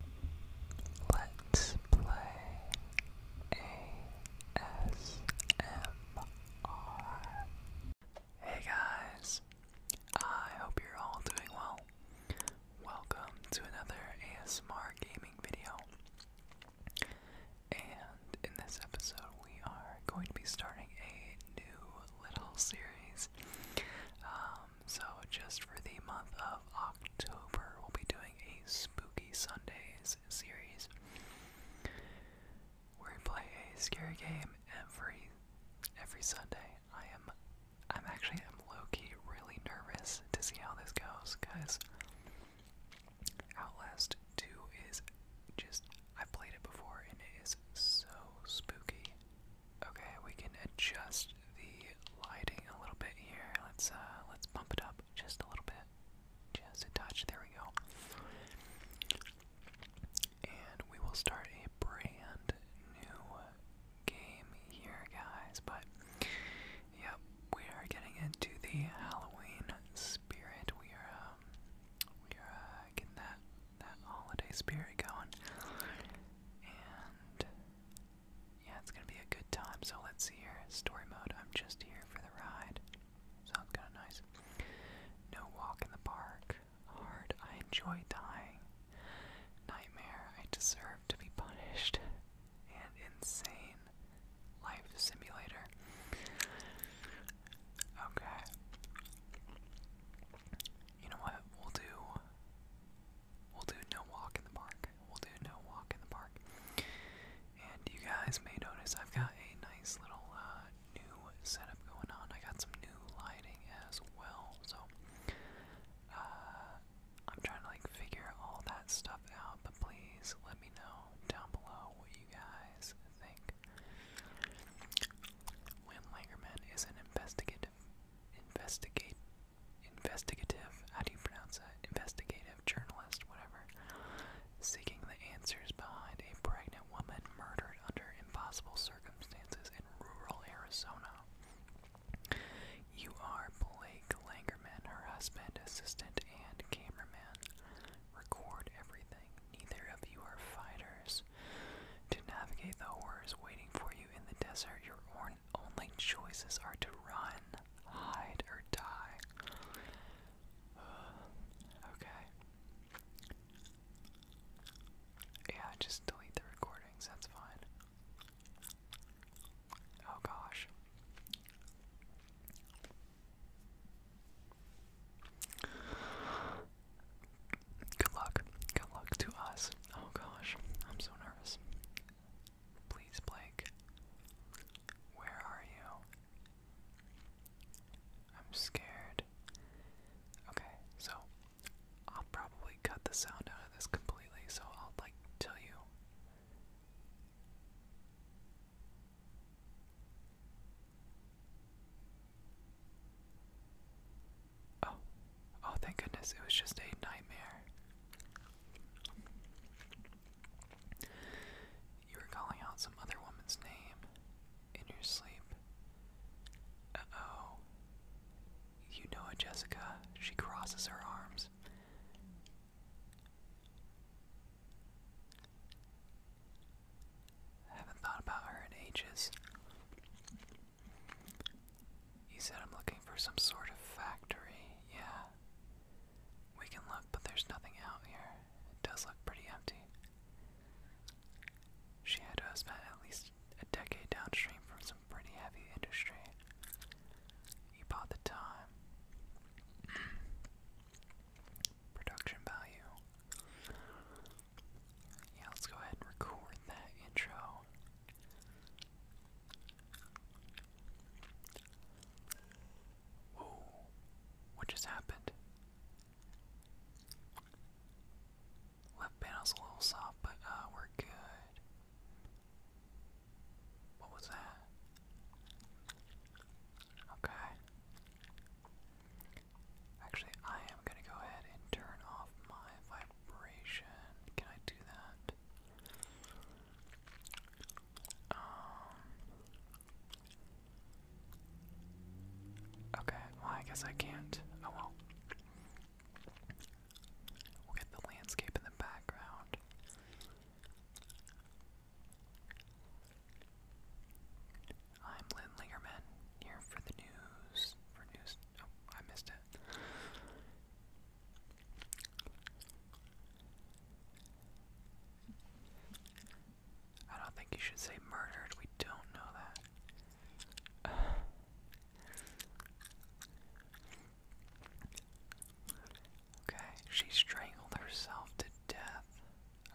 Hey guys, I hope you're all doing well. Welcome to another ASMR gaming video. And in this episode, we are going to be starting a new little series. Um, um, so just for the month of October, we'll be doing a Spooky Sundays series where we play a scary game every every Sunday. I am I'm actually I'm low-key really nervous to see how this goes, guys. Outlast 2 is just I have played it before and it is so spooky. Okay, we can adjust the lighting a little bit here. Let's uh let's bump it up just a little bit. Just a touch. There we go. And we will start a brand new game here, guys. But yep, we are getting into the Halloween spirit. We are um, we are uh, getting that that holiday spirit going. And yeah, it's gonna be a good time. So let's see here. Story mode, I'm just here for the ride. Sounds kinda nice. No walk in the park. Hard, I enjoy dying. Nightmare, I deserve to be punished. And insane. Life simulator. Okay. You know what? We'll do. We'll do no walk in the park we'll do no walk in the park. And you guys may notice I've got a nice little uh, new setup going on. I got some new lighting as well, so uh, I'm trying to like figure all that stuff out. But please let me know down below what you guys think. Wim Langerman is an investigative investigate investigative how do you pronounce that? Investigative journalist, whatever. Seeking the answers behind a pregnant woman murdered under impossible circumstances in rural Arizona. You are Blake Langerman, her husband, assistant, and cameraman. Record everything. Neither of you are fighters. To navigate the horrors waiting for you in the desert, you're warned only choices are to run, hide, or die. okay. Yeah, just delete the recordings, that's fine. Oh gosh. Good luck. Good luck to us. Oh gosh, I'm so nervous. Please, Blake. Where are you? I'm scared. Okay, so I'll probably cut the sound out of this completely, so I'll like tell you. Oh, Oh, thank goodness, it was just a nightmare. You were calling out some other woman's name in your sleep. Uh oh. You know it, Jessica. She crosses her arms. haven't thought about her in ages. He said I'm looking for some sort of factory, yeah. We can look, but there's nothing out here. It does look pretty empty. She had to have spent at least a decade downstream from some pretty heavy industry. You bought the time. Production value. Yeah, let's go ahead and record that intro. Whoa, what just happened? Left panel's a little soft, but uh, we're good. What was that? Okay. Actually, I am going to go ahead and turn off my vibration. Can I do that? Um, okay, well, I guess I can't. Oh well. We'll get the landscape in the background. I'm Lynn Lingerman, here for the news. For news. Oh, I missed it. I don't think you should say murdered. We don't know that. Okay, she strangled herself to death,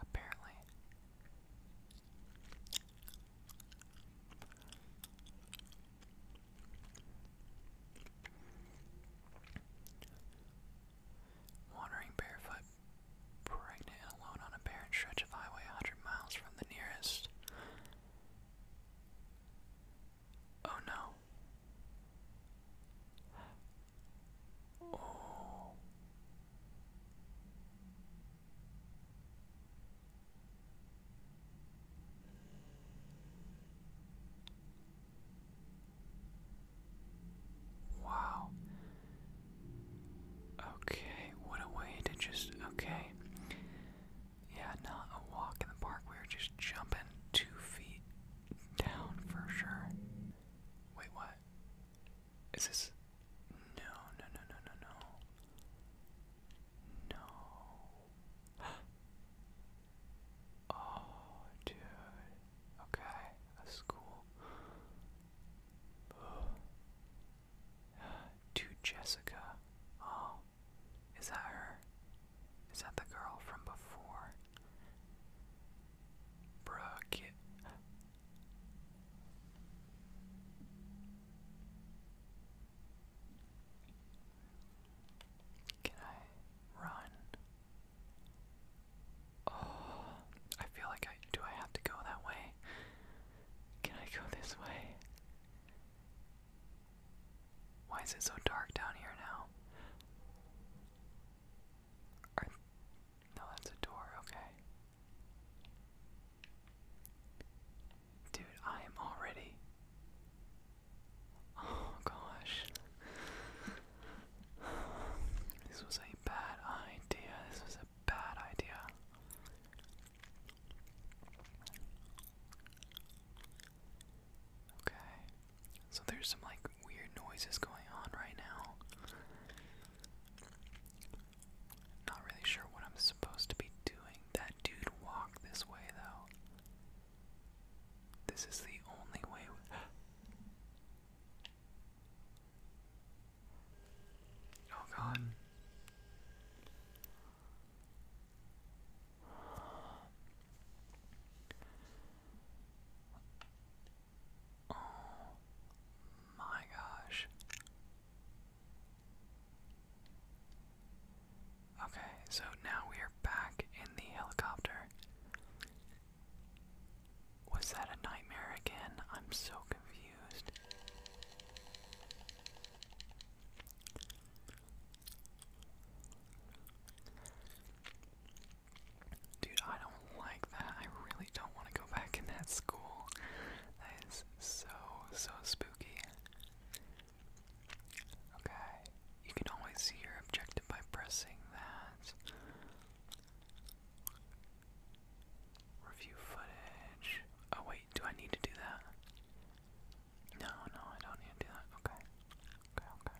apparently. Wandering barefoot, pregnant alone on a barren stretch of highway a hundred miles from the nearest. Oh no. Oh. Wow. Okay, what a way to just. Okay. Yeah, not a walk in the park. We were just jumping two feet down for sure. Wait, what? Is this. No, no, no, no, no, no. No. Oh, dude. Okay, that's cool. To Jessica. Oh, is that her? Is that the girl from before? Bruh, can I run? Oh, I feel like I do. I have to go that way. Can I go this way? Why is it so dark down here now? no, that's a door. Okay. Dude, I am already Oh gosh. This was a bad idea. This was a bad idea. Okay. So there's some like weird noises going on right now. Not really sure what I'm supposed to be doing. That dude walked this way though. This is the only way. oh god. Oh my gosh. Okay, so now we are back in the helicopter. Was that a nightmare again? I'm so confused. Dude, I don't like that. I really don't want to go back in that school. That is so, so spooky. Okay, you can always see your objective by pressing that. Review footage. Oh, wait, do I need to do that? No, no, I don't need to do that. Okay. Okay, okay.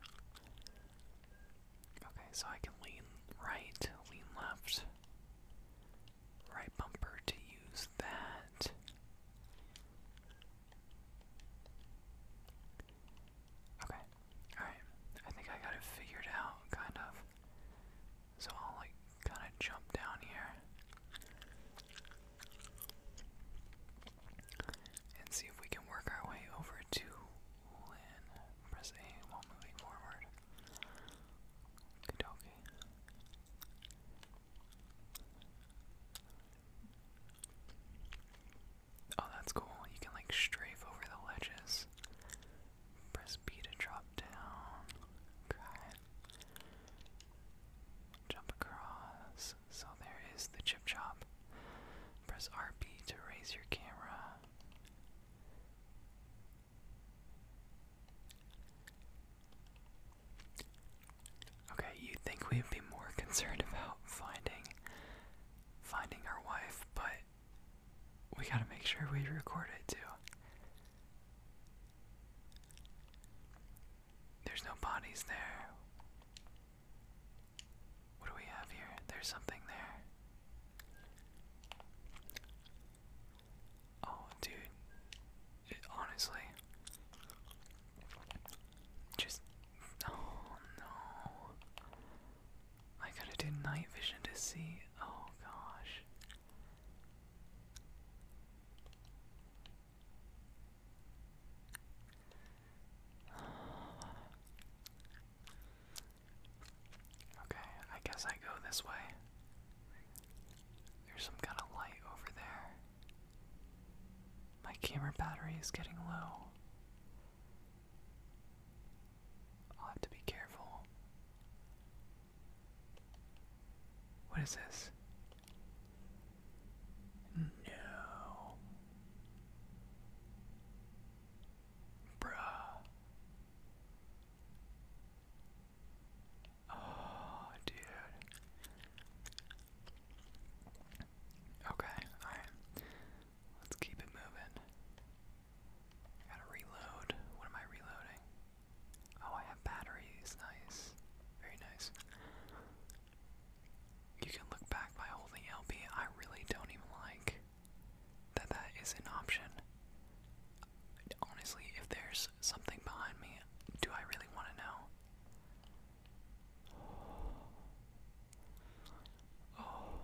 Okay, so I can lean right, lean left, right bumper to use that. Okay, alright. I think I got it figured out, kind of. So I'll, like, kind of jump down here and see if we can work our way over to Press A while moving forward. Kidoki. Oh, that's cool. You can like strafe over the ledges. Press B to drop down. Cry. Jump across. So there is the chip chop. Press RB to raise your camera. Okay, you think we'd be more concerned about finding finding our wife, but we gotta make sure we record it too. There's no bodies there. What do we have here? There's something there. Oh, dude. honestly, just oh no. I gotta do night vision to see. Oh gosh. Okay, I guess I go this way. There's some kind of light over there. My camera battery is getting low. I'll have to be careful. What is this? No. Bruh. Oh, dude. Okay, alright. Let's keep it moving. Gotta reload. What am I reloading? Oh, I have batteries. Nice. Very nice. You can look back by holding LB. I really don't even like that that is an option. Honestly, if there's something behind me, do I really want to know? Oh.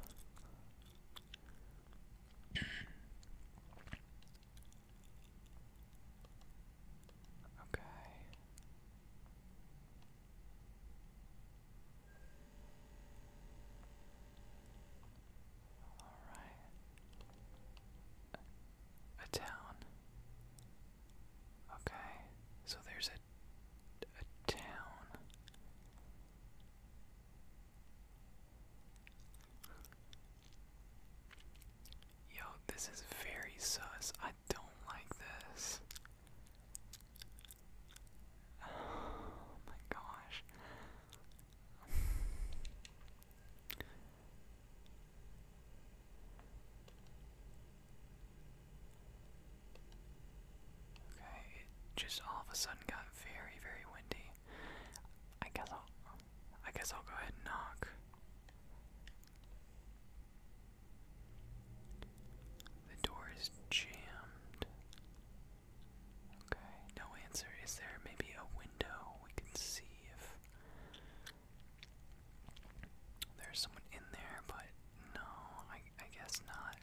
okay. All right. A town. Okay, so there's a, a town. Yo, this is very sus. I don't like this. Oh my gosh. Okay, it just all of a sudden got very, very windy. I guess I'll, I guess I'll go ahead and knock. The door is jammed. Okay, no answer. Is there maybe a window we can see if there's someone in there, but no, I, I guess not.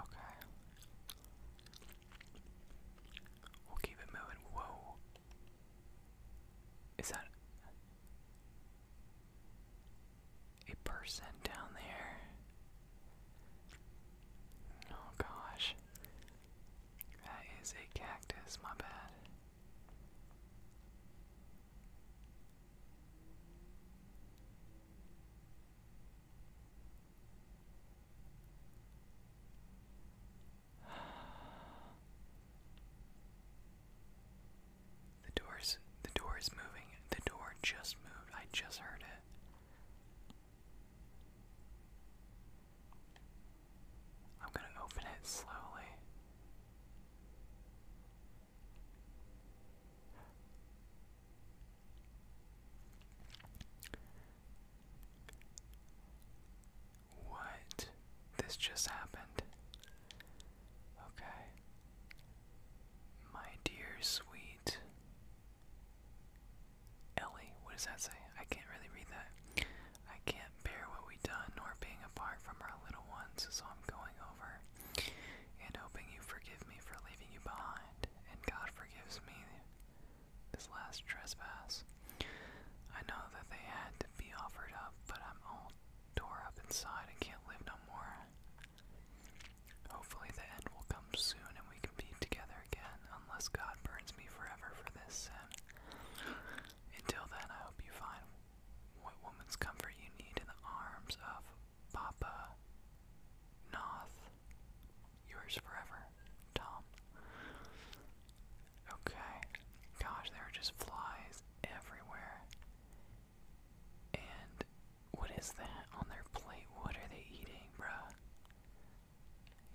Okay. We'll keep it moving. Whoa. Is that a person down there? Oh gosh. That is a cactus, my bad. The door's the door is moving. The door just moved. I just heard it. I'm going to open it slowly. What? This just happened. Okay. My dear sweet Ellie, what does that say? I can't really read that. I can't bear what we have done nor being apart from our little ones, so I'm going over and hoping you forgive me for leaving you behind, and God forgives me this last trespass. I know that they had to be offered up, but I'm all tore up inside and can't live no more. Hopefully, the end will come soon and we can be together again, unless God burns me forever for this sin. Until then, I hope you find what woman's comfort you need in the arms of Papa Noth. Yours forever, Tom. Okay. Gosh, there are just flies everywhere. And what is that on their plate? What are they eating, bruh?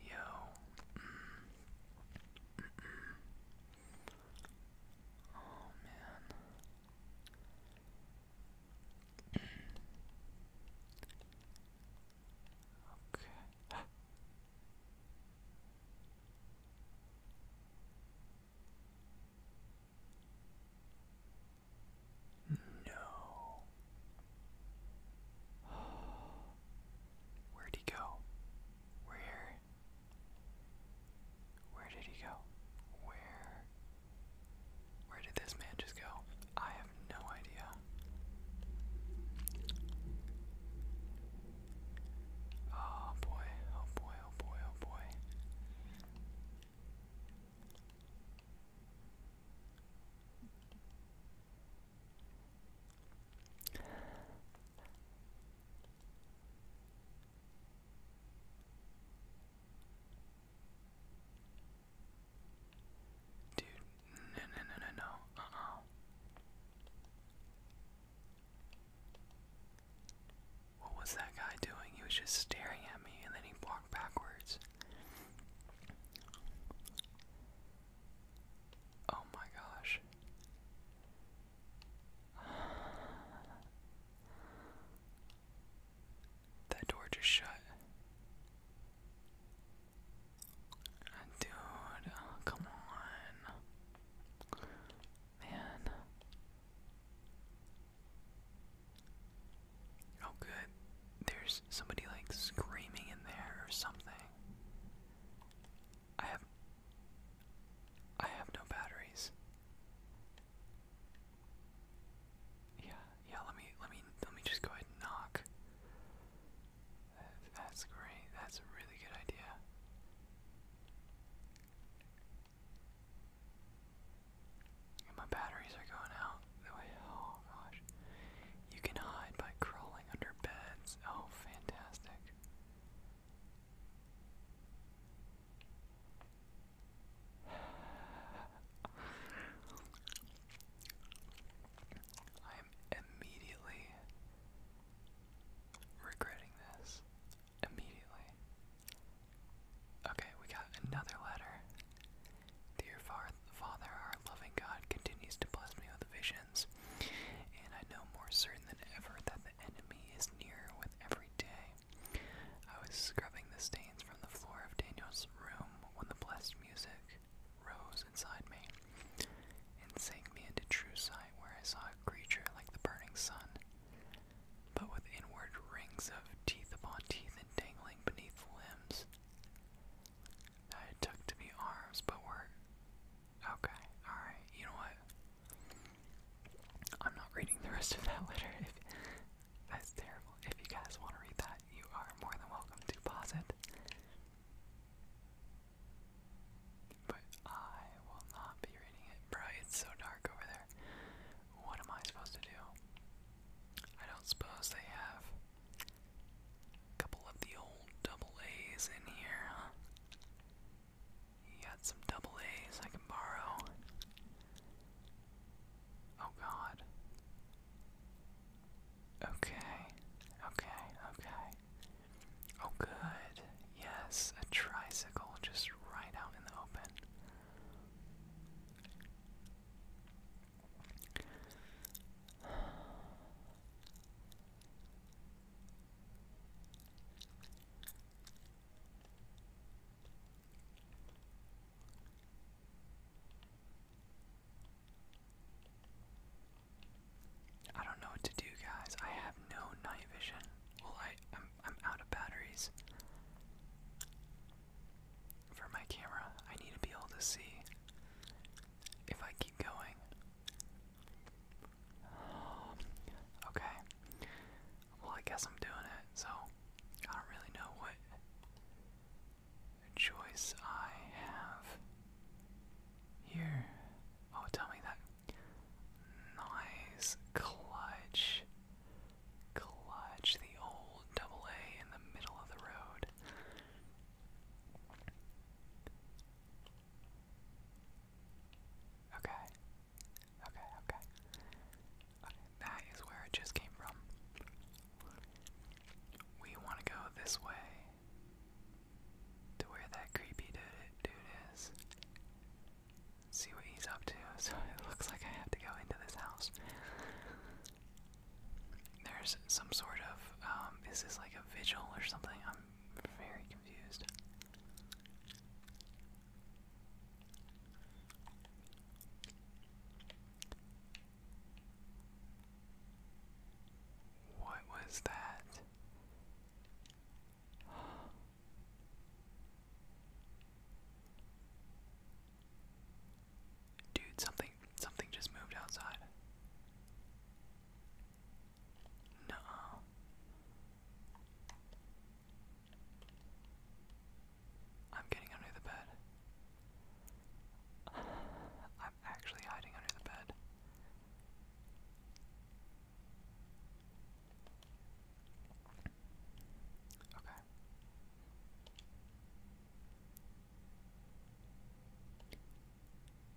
Yo. Oh man. okay. No. Where'd he go? we Where did he go? Where? Where did this man just go? I have no idea. Oh boy, oh boy, oh boy, oh boy. Dude, no, no, no, no, no. Uh-uh. What was that guy doing? He was just staring at me and then he walked backwards. Oh my gosh. That door just shut. Dude, come on. Man. Oh, good. There's somebody like screaming in there or something. I have I have no batteries. Yeah, yeah, let me let me let me just go ahead and knock. That's great. That's a really good idea. my batteries are going out the way. Oh, gosh. You can hide by crawling under beds. Oh, fantastic. I am immediately regretting this. Immediately. Okay, we got another letter. Dear Father, our loving God continues to bless me with visions, and I know more certain than ever that the enemy is nearer with every day. I was scrubbing the stains from the floor of Daniel's room when the blessed music rose inside me and sank me into true sight, where I saw a creature like the burning sun, but with inward rings of teeth upon teeth and dangling beneath limbs. I took to be arms, but were Okay, alright, you know what? I'm not reading the rest of that letter. that's terrible. If you guys want to read that, you are more than welcome to pause it. But I will not be reading it. Bro, it's so dark over there. What am I supposed to do? I don't suppose they have a couple of the old double A's in here, huh? got some double A's I can borrow. Oh god. Okay, okay, okay. Oh good. Yes, a tricycle just right out in the open. I don't know what to do, guys. I have no night vision. Well, I I'm out of batteries for my camera. I need to be able to see if I keep going. Um, okay. Well, I guess I'm doing it, so I don't really know what choice I have here. Oh, tell me that. Nice clutch. Clutch the old double A in the middle of the road. Okay. Okay, okay. Okay, that is where it just came from. We want to go this way to where that creepy dude, is. See what he's up to. So it looks like I have to go into this house. There's some sort of, um, this is like a vigil or something? I'm very confused. What was that? Dude, something something just moved outside. No. I'm getting under the bed. I'm actually hiding under the bed. Okay.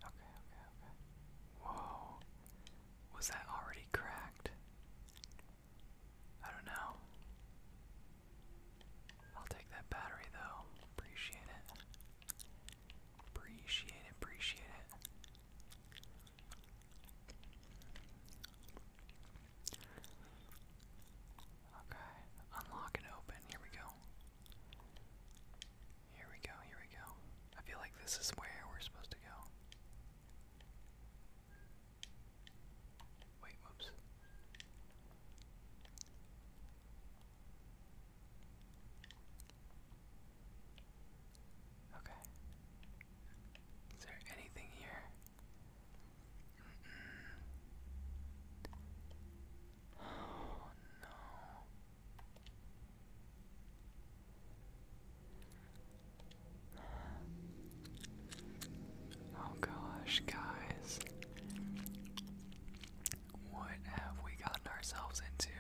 Okay, okay, Whoa. Was that already cracked? I don't know. I'll take that battery though. Appreciate it. Appreciate it, appreciate it. Okay, unlock and open. Here we go. Here we go, here we go. I feel like this is where we're supposed to go. Wait, whoops. Okay. Is there anything here? Mm -mm. Oh no. Oh gosh, guys. What have we gotten ourselves into?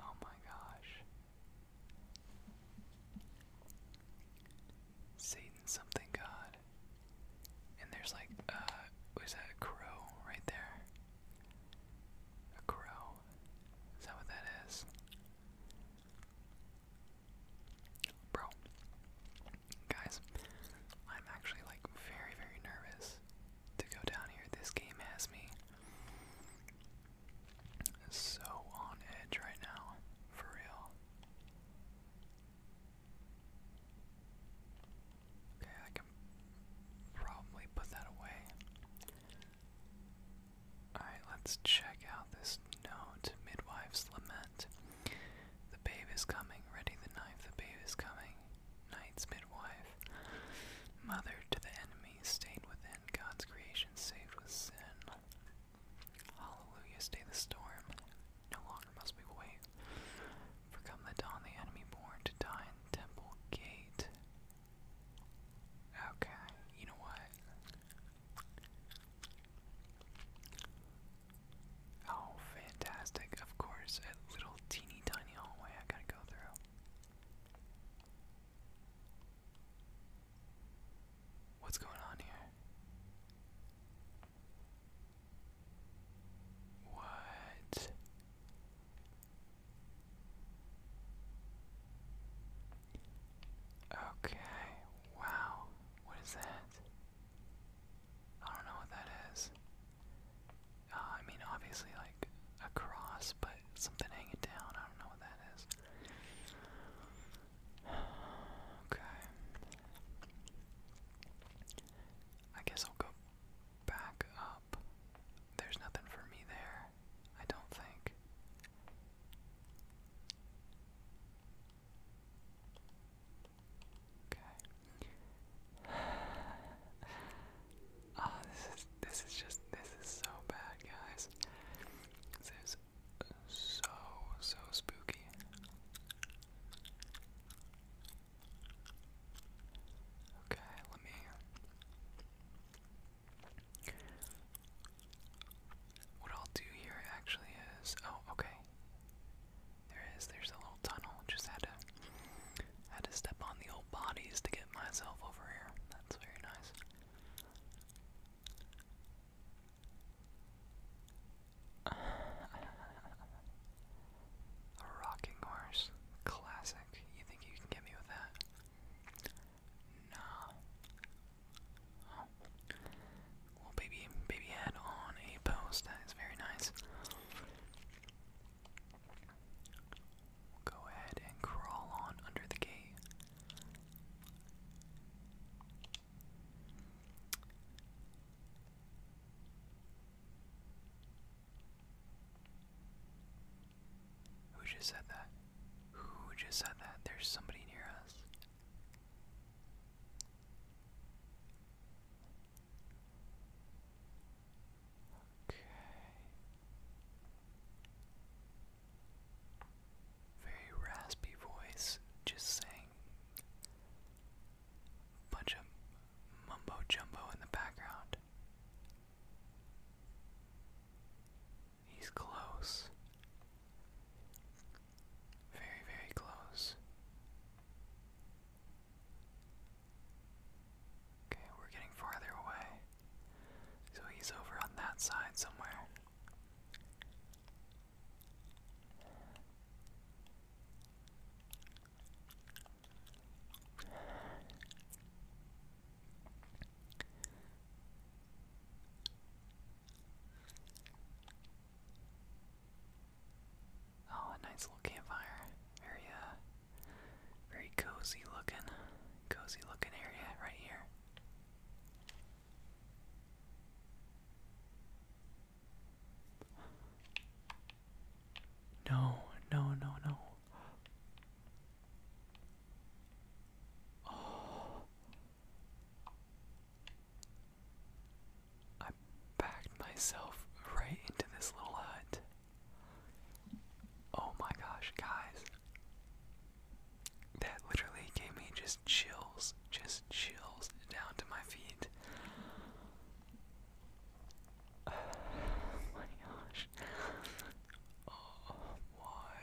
Oh my gosh. Satan something God. And there's like uh what is that a crow right there? A crow. Is that what that is? Bro. Guys, I'm actually like very very nervous to go down here. This game has me so on edge right now, for real. Okay, I can probably put that away. Alright, let's check out this note. Midwife's Lament. The babe is coming. Ready the knife. The babe is coming. Knight's midwife. Mother to the enemy. Stayed within. God's creation saved with sin. Hallelujah, stay the storm. No longer must we wait. For come the dawn, the enemy born to die in Temple Gate. Okay, you know what? Oh, fantastic. Of course, a little teeny tiny hallway I gotta go through. What's going on here? What? Okay, wow. What is that? I don't know what that is. Uh, I mean, obviously, like a cross, but something hanging down. I don't know what that is. Okay. I guess I'll go back up. There's nothing for me there, I don't think. Okay. Ah, this is this is just this is so bad, guys. This is so, so spooky. Okay, let me. What I'll do here actually is. Oh, okay. There is. There's a little tunnel. Just had to. Had to step on the old bodies to get myself over here. That's very nice. A rocking horse. Classic. You think you can get me with that? Nah. Well, baby, baby had on a post. That is very nice. We'll go ahead and crawl on under the gate. Who just said that? Who just said that? There's somebody near us. Okay very raspy voice, just saying a bunch of mumbo jumbo in the background. He's close. Very, very close. Okay, we're getting farther away. So he's over on that side somewhere. Oh, a nice little campfire. Very uh, very cozy looking cozy looking area right here. No, no, no, no. I backed myself right into this little hut. Oh my gosh, guys that literally gave me just chills, just chills down to my feet. Oh my gosh. Oh, why?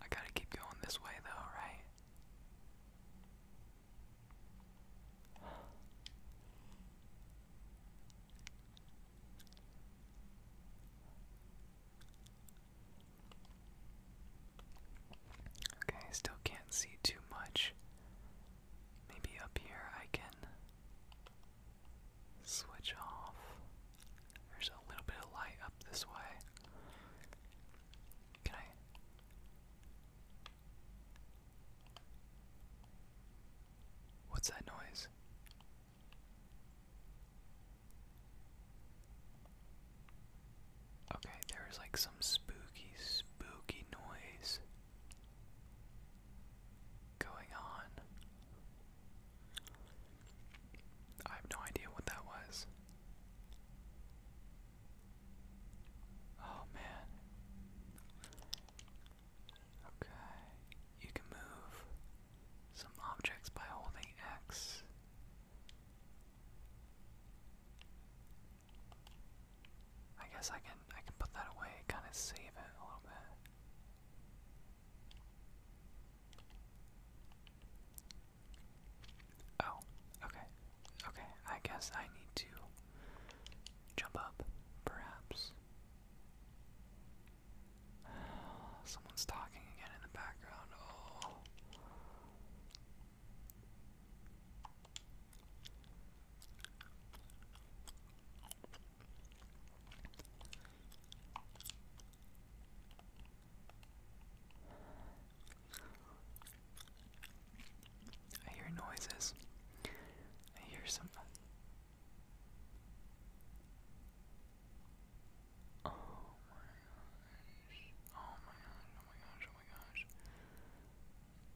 I gotta keep going this way, though, right? Okay, I still can't see too much. Maybe up here I can switch off. There's a little bit of light up this way. Can I? What's that noise? Okay, there was like some spooky, spooky noise going on. I have no idea what that was. Oh man. Okay, you can move some objects by holding X. I guess I can I can put that away, kind of save it a little bit. Oh, okay. Okay, I guess I need to jump up, perhaps. Someone's talking again in the background. Oh. I hear noises. I hear some Oh my gosh. Oh my gosh, oh my gosh, oh my gosh.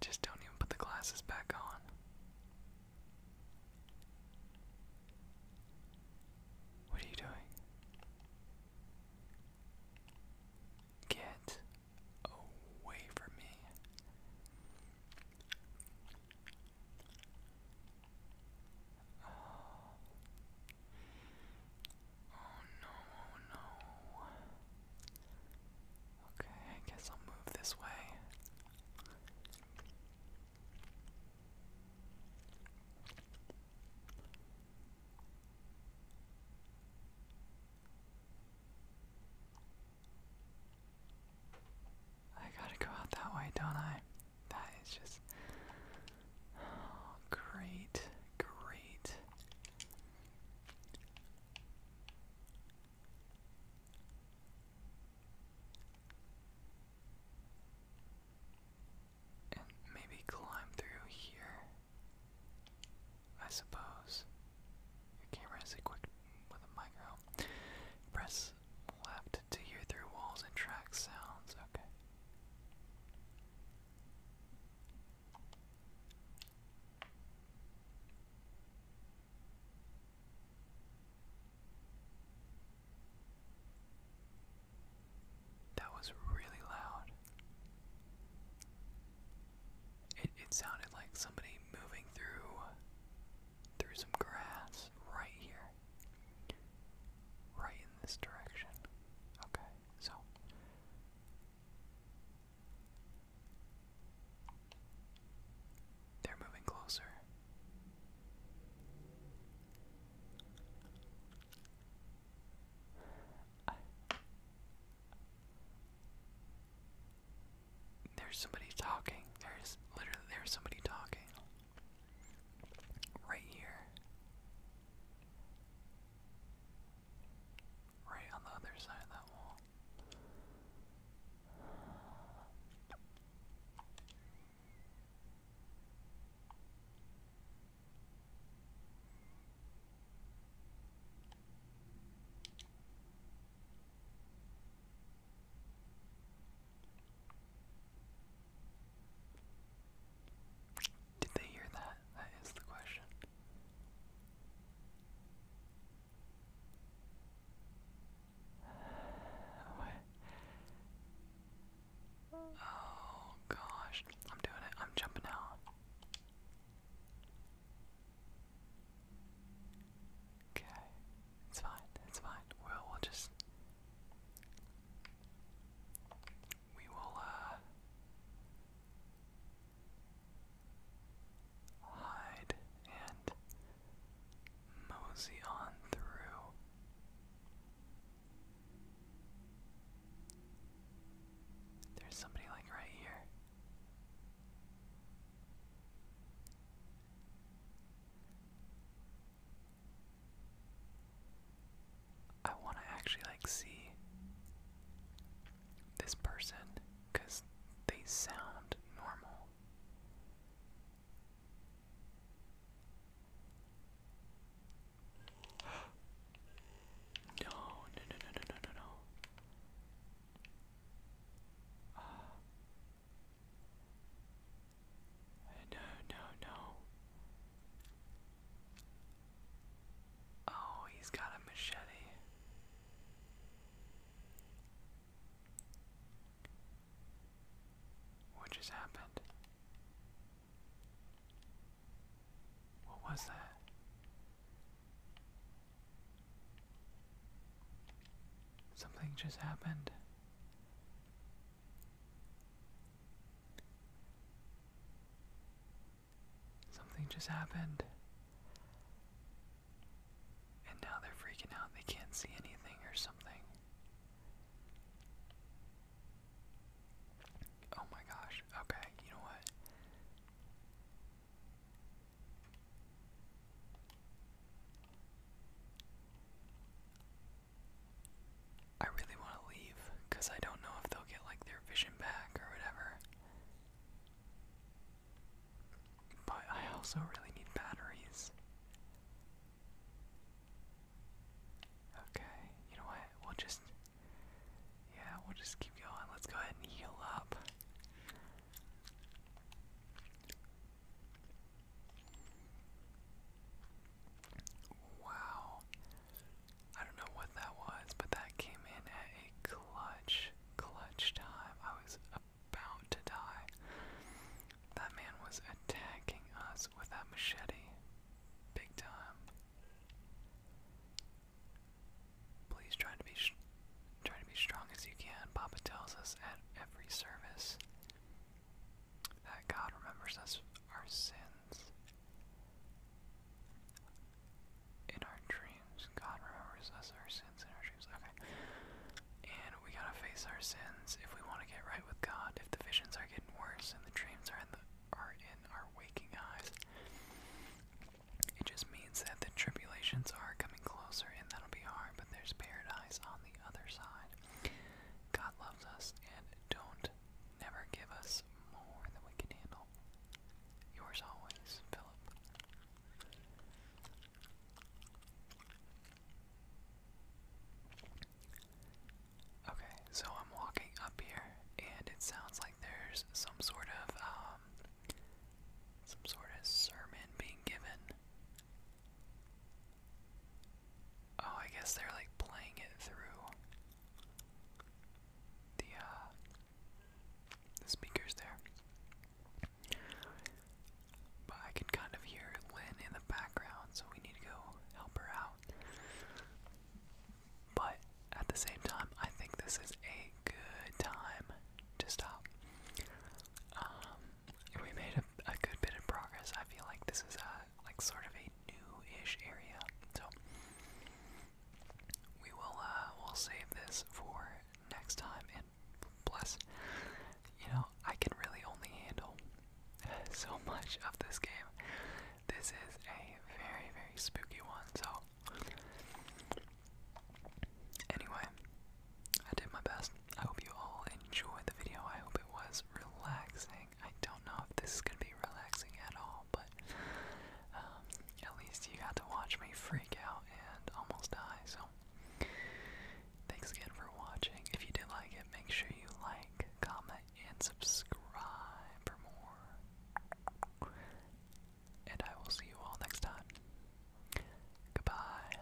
Just don't even put the glasses back on. What are you doing? Get away from me. Oh, no, oh, no. Okay, I guess I'll move this way. I gotta go out that way, don't I? That is just oh, great, great. And maybe climb through here. I suppose. Your camera is equipped with a micro. Press Left to hear through walls and track sounds. Okay. That was really loud. It it sounded like somebody moving through through some grass right here. Right in this direction. Okay, so. They're moving closer. There's somebody talking. There's literally there's somebody talking. Right here. Right on the other side of that wall. Did they hear that? That is the question. Oh gosh, I'm doing it. I'm jumping out. Okay, it's fine. It's fine. Well, we'll just we will uh, hide and mosey on through. There's somebody like right here. I want to actually like see this person because they sound normal. No, no, no, no, no, no, no, ah. No, no, no. Oh, he's got a machete. What just happened? What was that? Something just happened. Something just happened. And now they're freaking out. They can't see anything or something. Oh my gosh. Okay, you know what? I really want to leave because I don't know if they'll get like their vision back or whatever. But I also really need batteries. Okay, you know what? We'll just. Yeah, we'll just keep going. Let's go ahead and heal up. Wow. I don't know what that was, but that came in at a clutch, clutch time. I was about to die. That man was attacking us with that machete. Big time. Please try to be try to be strong as you can. Papa tells us at every service that God remembers us our sins. In our dreams, God remembers us our sins in our dreams. Okay. And we gotta face our sins if we want to get right with God. If the visions are getting worse and the dreams are in the are in our waking eyes, it just means that the tribulations are coming closer and that'll be hard, but there's paradise on the other side. God loves us and don't never give us more than we can handle. Yours always, Philip. Okay, so I'm walking up here, and it sounds like there's some sort of um, some sort of sermon being given. Oh, I guess they're like playing it through the uh, the speakers there. But I can kind of hear Lynn in the background, so we need to go help her out. But at the same time, I think this is a good time to stop. Um, we made a, a good bit of progress. I feel like this is a like sort of a new-ish area, so we will uh, we'll save this for next time. And plus, you know, I can really only handle so much of this game. This is a very very spooky one. So anyway, I did my best. I hope you all enjoyed the video. I hope it was relaxing. I don't know if this is gonna be relaxing at all, but um, at least you got to watch me freak out and almost die. So, thanks again for watching. If you did like it, make sure you like, comment, and subscribe for more. And I will see you all next time. Goodbye.